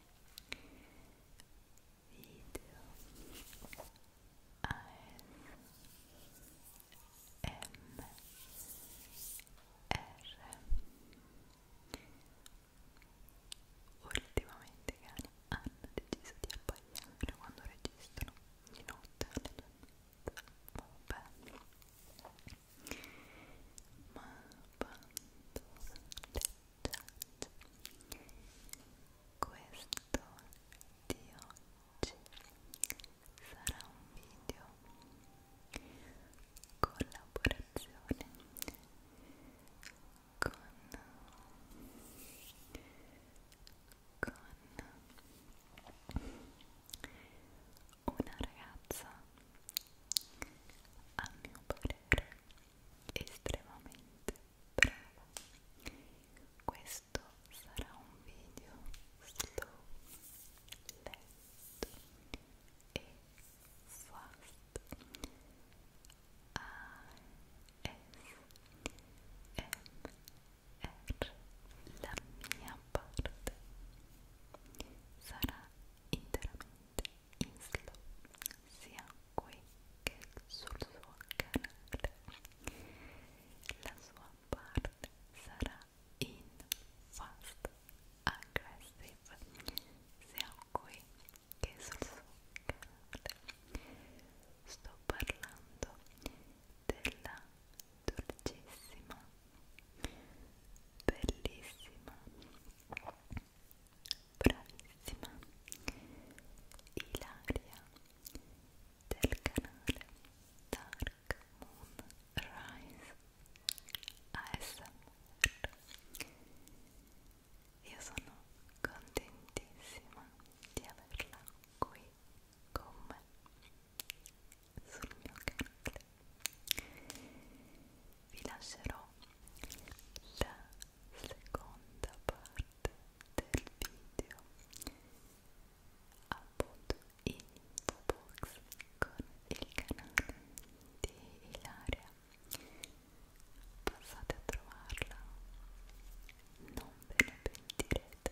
video ASMR ultimamente i cani hanno deciso di appagliare quando registrano di notte alle due vabbè ma quando le Judge questo di oggi sarà un video collaborazione con con una ragazza a mio parere estremamente brava questo sarà un video slow lento e fast ASMR la mia parte sarà interamente Islo sia qui che sul suo canale la sua parte sarà in fast aggressive sia qui che sul suo canale sto parlando della dolcissima bellissima bravissima Ilaria del canale Dark Moon Rise ASMR io sono contentissima di averla qui con me sul mio canale vi lascerò la seconda parte del video appunto in info box con il canale di Ilaria passate a trovarla non ve ne pentirete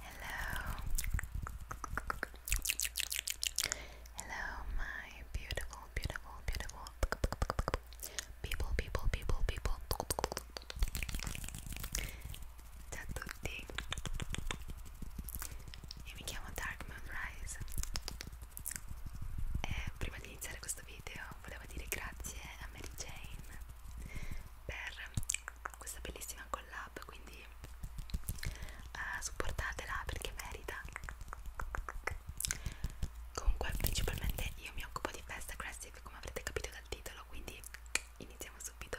Hello. Hello, my beautiful, beautiful, beautiful people, people, people, people. Ciao tutti. Io mi chiamo Dark Moon eh, prima di iniziare questo video volevo dire grazie a Mary Jane per questa bellissima collab quindi eh, supportatela perché merita comunque principalmente io mi occupo di Best Aggressive come avrete capito dal titolo quindi iniziamo subito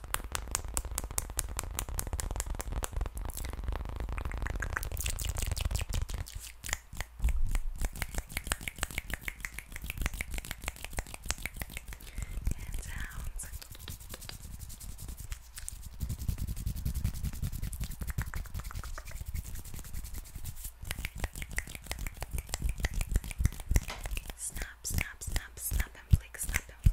And sounds. Snap, snap, snap, snap and flick, snap and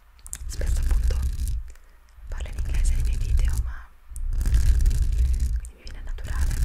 spesso appunto parlo in inglese nei miei video ma quindi mi viene naturale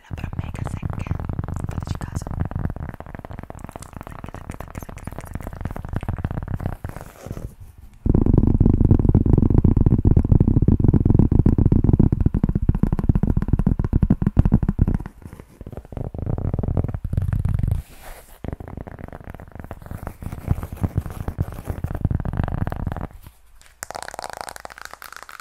le labbra mega secche fateci caso secche, secche, secche, secche, secche, secche.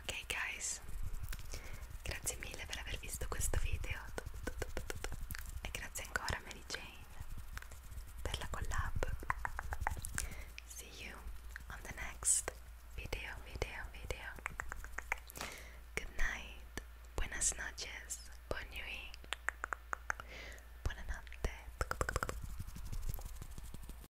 ok guys grazie mille per aver visto questo video e grazie ancora a Mary Jane per la collab see you on the next video video video good night buenas noches buon nuit buonanotte